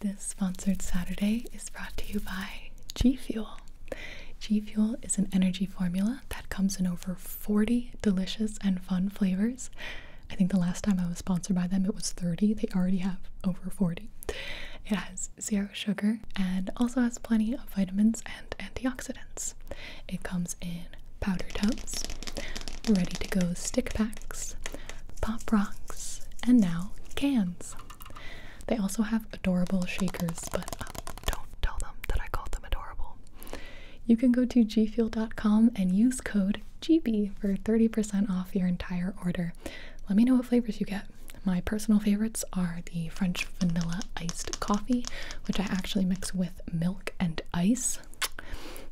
This sponsored Saturday is brought to you by G Fuel. G Fuel is an energy formula that comes in over 40 delicious and fun flavors. I think the last time I was sponsored by them, it was 30. They already have over 40. It has zero sugar and also has plenty of vitamins and antioxidants. It comes in powder tubs, ready to go stick packs, pop rocks, and now cans. They also have adorable shakers, but um, don't tell them that I called them adorable. You can go to gfuel.com and use code GB for 30% off your entire order. Let me know what flavors you get. My personal favorites are the French vanilla iced coffee, which I actually mix with milk and ice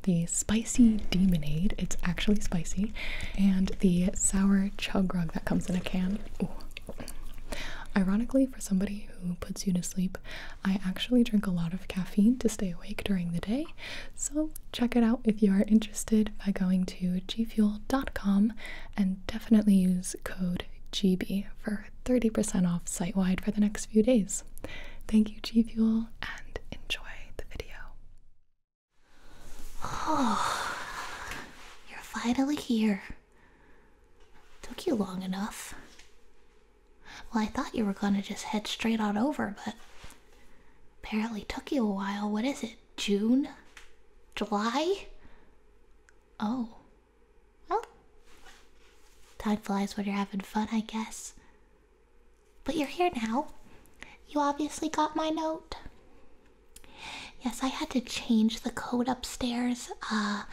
the spicy demonade, it's actually spicy, and the sour chug rug that comes in a can. Ooh. Ironically, for somebody who puts you to sleep, I actually drink a lot of caffeine to stay awake during the day. So check it out if you are interested by going to gfuel.com and definitely use code GB for 30% off site wide for the next few days. Thank you, Gfuel, and enjoy the video. Oh, you're finally here. Took you long enough. Well, I thought you were gonna just head straight on over, but apparently took you a while. What is it? June? July? Oh. Well, time flies when you're having fun, I guess. But you're here now. You obviously got my note. Yes, I had to change the code upstairs. Uh,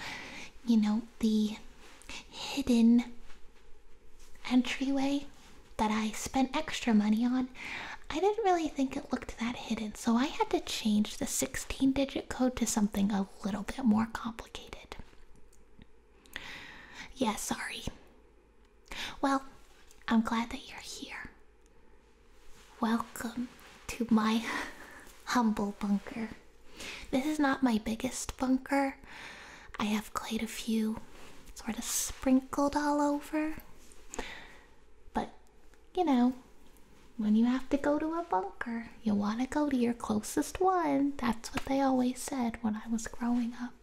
you know, the hidden entryway that I spent extra money on. I didn't really think it looked that hidden, so I had to change the 16 digit code to something a little bit more complicated. Yes, sorry. Well, I'm glad that you're here. Welcome to my humble bunker. This is not my biggest bunker. I have quite a few sort of sprinkled all over. But, you know, when you have to go to a bunker, you want to go to your closest one. That's what they always said when I was growing up.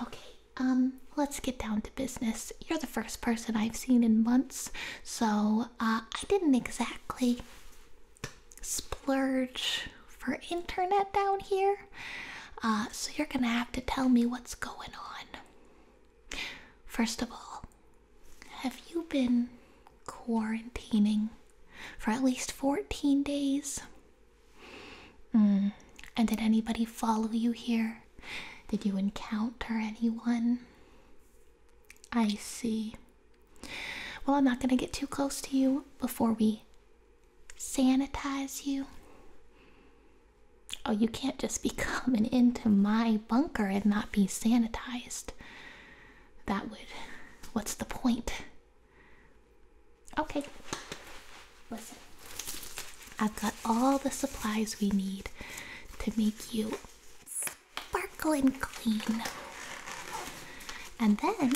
Okay, um, let's get down to business. You're the first person I've seen in months, so uh, I didn't exactly splurge for internet down here. Uh, so you're gonna have to tell me what's going on. First of all, have you been quarantining for at least 14 days. Mm. And did anybody follow you here? Did you encounter anyone? I see. Well, I'm not going to get too close to you before we sanitize you. Oh, you can't just be coming into my bunker and not be sanitized. That would. What's the point? Okay, listen. I've got all the supplies we need to make you sparkle and clean. And then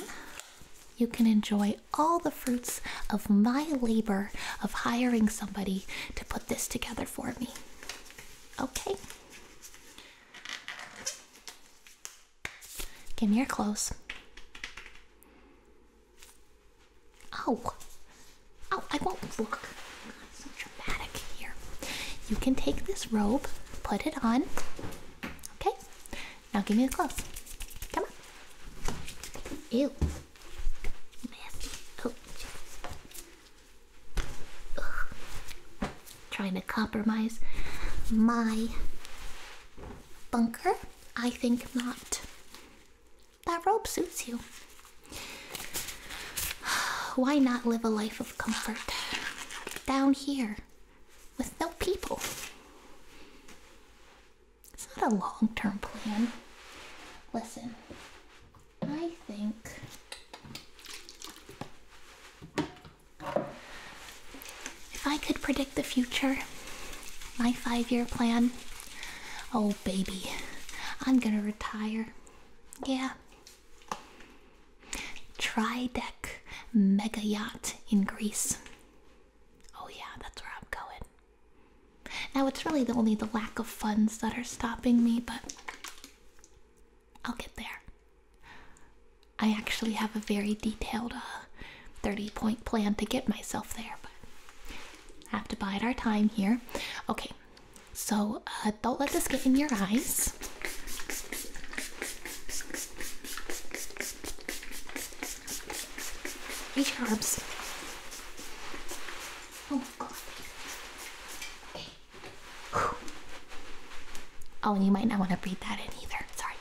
you can enjoy all the fruits of my labor of hiring somebody to put this together for me. Okay? Give me your clothes. Oh, oh, I won't look. so dramatic here. You can take this robe, put it on. Okay, now give me the clothes. Come on. Ew. Oh, trying to compromise my bunker? I think not. That robe suits you. Why not live a life of comfort down here with no people? It's not a long term plan. Listen, I think if I could predict the future, my five year plan, oh baby, I'm gonna retire. Yeah. Tri deck mega yacht in Greece. Oh, yeah, that's where I'm going. Now, it's really the, only the lack of funds that are stopping me, but I'll get there. I actually have a very detailed uh, 30 point plan to get myself there, but I have to bide our time here. Okay, so uh, don't let this get in your eyes. Reach your arms. Oh my god. Oh, and you might not want to breathe that in either. Sorry.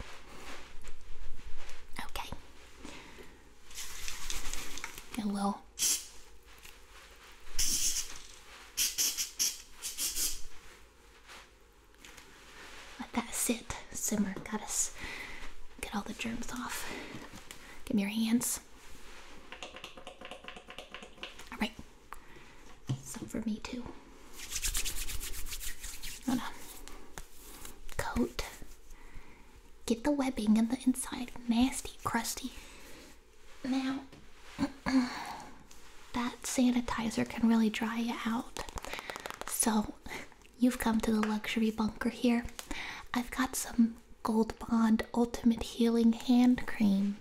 Okay. A little. Let that sit, simmer. got us. get all the germs off. Give me your hands. All right. Some for me too. Hold on. Coat. Get the webbing on the inside. Nasty, crusty. Now, that sanitizer can really dry you out. So, you've come to the luxury bunker here. I've got some Gold Bond Ultimate Healing Hand Cream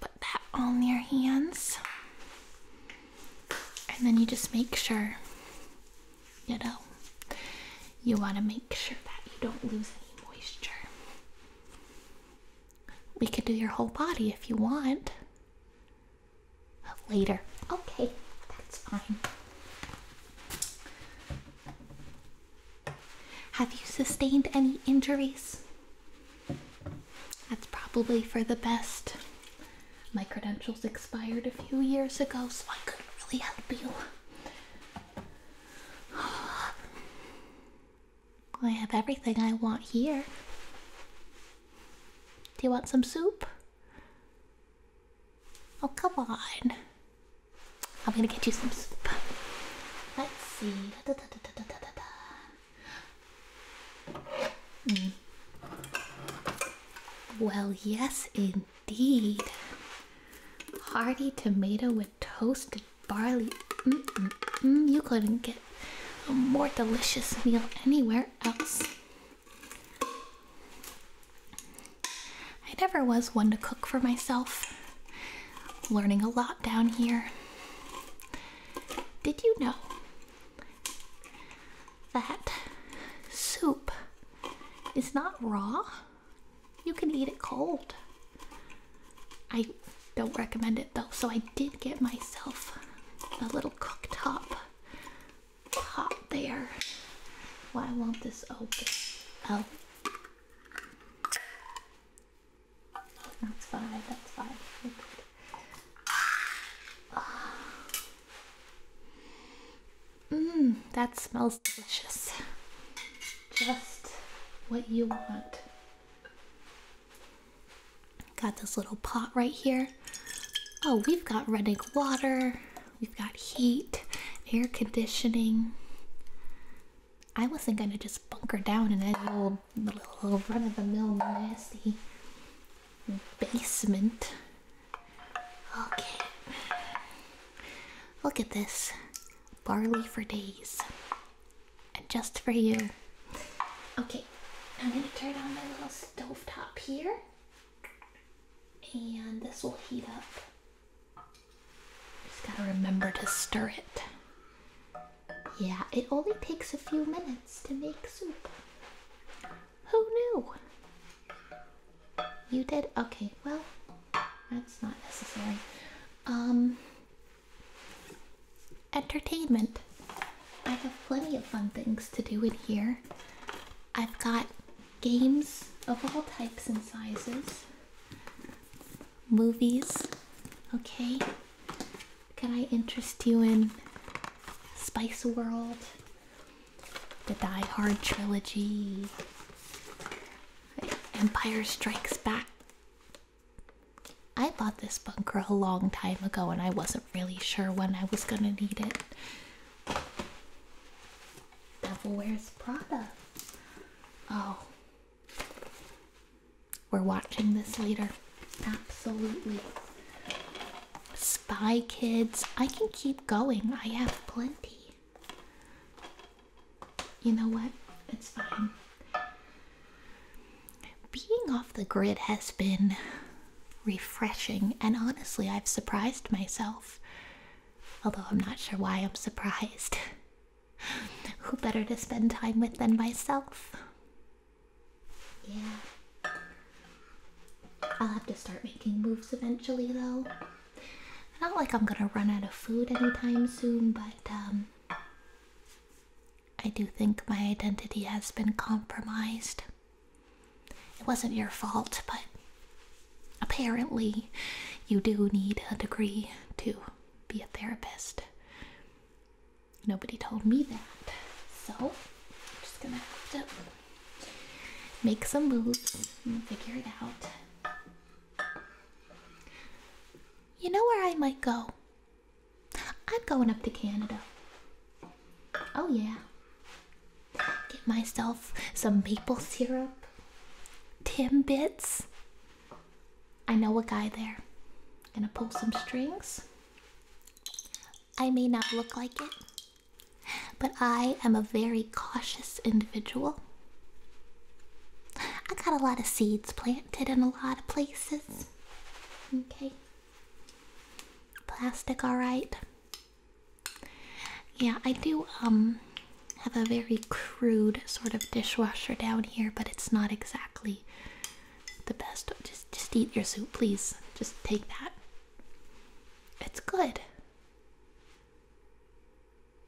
put that on your hands. And then you just make sure, you know, you want to make sure that you don't lose any moisture. We could do your whole body if you want. Later. Okay, that's fine. Have you sustained any injuries? That's probably for the best. My credentials expired a few years ago, so I couldn't really help you. I have everything I want here. Do you want some soup? Oh, come on. I'm gonna get you some soup. Let's see. Well, yes, indeed. Hearty tomato with toasted barley. You couldn't get a more delicious meal anywhere else. I never was one to cook for myself. Learning a lot down here. Did you know that soup is not raw? You can eat it cold. I don't recommend it though, so I did get myself a little cooktop pot there. Why won't this open. Oh. That's fine, that's fine. Mmm, that smells delicious. Just what you want. Got this little pot right here. Oh, we've got running water, we've got heat, air conditioning. I wasn't gonna just bunker down in that little, little run-of-the-mill nasty basement. Okay, look at this barley for days, and just for you. Okay, I'm gonna turn on my little stove top here, and this will heat up just gotta remember to stir it. Yeah, it only takes a few minutes to make soup. Who knew? You did? Okay, well, that's not necessary. Um, entertainment. I have plenty of fun things to do in here. I've got games of all types and sizes, movies. Okay, can I interest you in Spice World, the Die Hard trilogy, Empire Strikes Back? I bought this bunker a long time ago and I wasn't really sure when I was gonna need it. Devil Wears Prada. Oh, we're watching this later. Absolutely. Spy Kids. I can keep going. I have plenty. You know what? It's fine. Being off the grid has been refreshing, and honestly, I've surprised myself Although I'm not sure why I'm surprised. Who better to spend time with than myself? Yeah. I'll have to start making moves eventually, though. Not like I'm gonna run out of food anytime soon, but um, I do think my identity has been compromised. It wasn't your fault, but Apparently, you do need a degree to be a therapist. Nobody told me that. So, I'm just gonna have to make some moves and figure it out. You know where I might go? I'm going up to Canada. Oh, yeah. Get myself some maple syrup, Timbits. I know a guy there. Gonna pull some strings. I may not look like it, but I am a very cautious individual. I got a lot of seeds planted in a lot of places. Okay. Plastic, alright. Yeah, I do um have a very crude sort of dishwasher down here, but it's not exactly the best. Just just eat your soup, please. Just take that. It's good.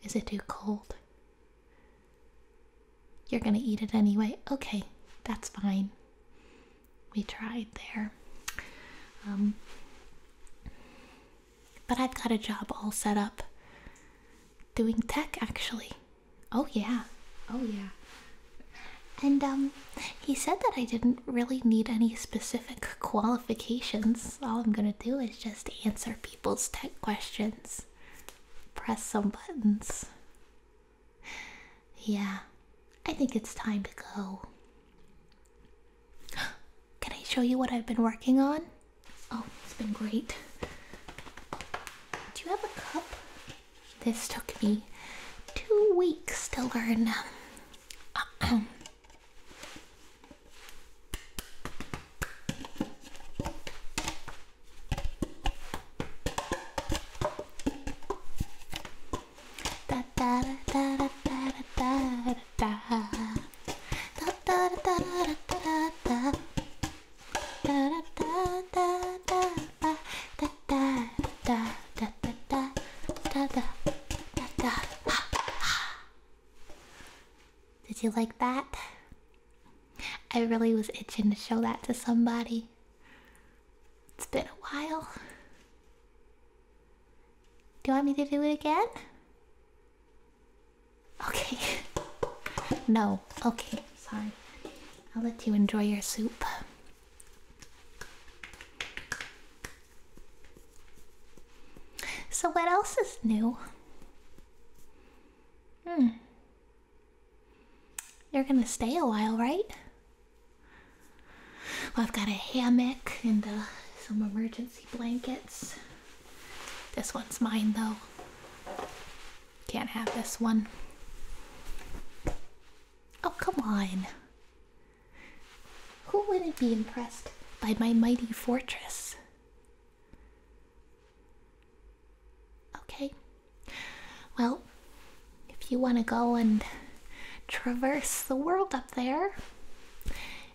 Is it too cold? You're gonna eat it anyway. Okay, that's fine. We tried there. Um, but I've got a job all set up doing tech actually. Oh yeah. Oh yeah. And um he said that I didn't really need any specific qualifications. All I'm going to do is just answer people's tech questions. Press some buttons. Yeah. I think it's time to go. Can I show you what I've been working on? Oh, it's been great. Do you have a cup? This took me two weeks to learn. Did you like that? I really was itching to show that to somebody. It's been a while. Do you want me to do it again? Okay. no. Okay. Sorry. I'll let you enjoy your soup. So, what else is new? Hmm. You're gonna stay a while, right? I've got a hammock and uh, some emergency blankets. This one's mine though. Can't have this one. Oh, come on. Who wouldn't be impressed by my mighty fortress? Okay. Well, if you want to go and traverse the world up there.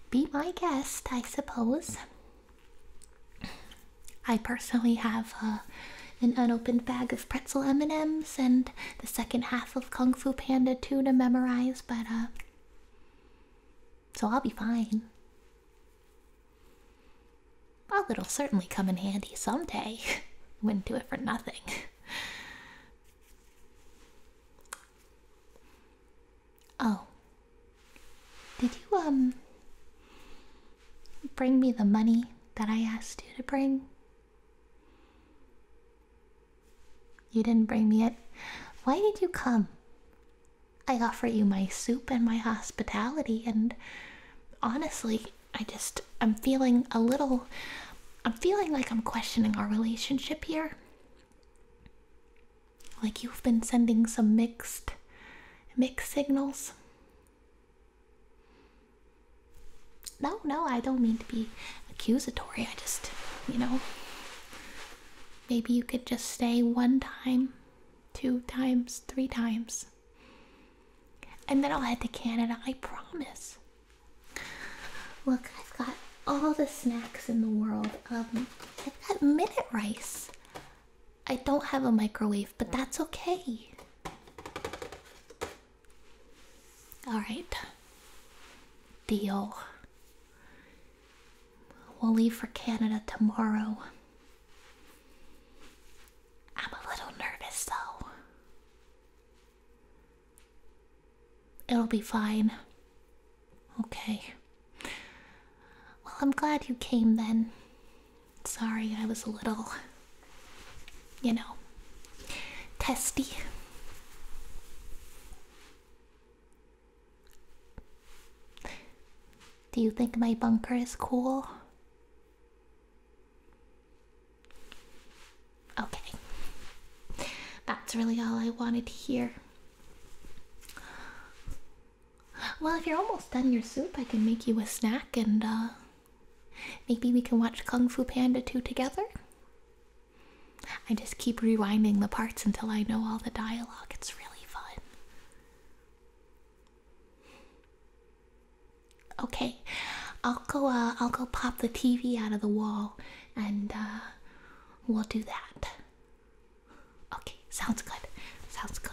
Be my guest, I suppose. I personally have uh, an unopened bag of pretzel M&Ms and the second half of Kung Fu Panda 2 to memorize, but uh, so I'll be fine. Well, it'll certainly come in handy someday. Wouldn't do it for nothing. Oh. Did you, um, bring me the money that I asked you to bring? You didn't bring me it. Why did you come? I offer you my soup and my hospitality, and honestly, I just, I'm feeling a little I'm feeling like I'm questioning our relationship here. Like you've been sending some mixed mixed signals. No, no, I don't mean to be accusatory. I just, you know, maybe you could just stay one time, two times, three times. And then I'll head to Canada, I promise. Look, I've got all the snacks in the world. Um, I've got minute rice. I don't have a microwave, but that's okay. All right. Deal. We'll leave for Canada tomorrow. I'm a little nervous though. It'll be fine. Okay. Well, I'm glad you came then. Sorry, I was a little, you know, testy. Do you think my bunker is cool? Okay. That's really all I wanted to hear. Well, if you're almost done your soup, I can make you a snack and uh, maybe we can watch Kung Fu Panda 2 together. I just keep rewinding the parts until I know all the dialogue. It's really fun. Okay, I'll go. Uh, I'll go pop the TV out of the wall, and uh, we'll do that. Okay, sounds good. Sounds good.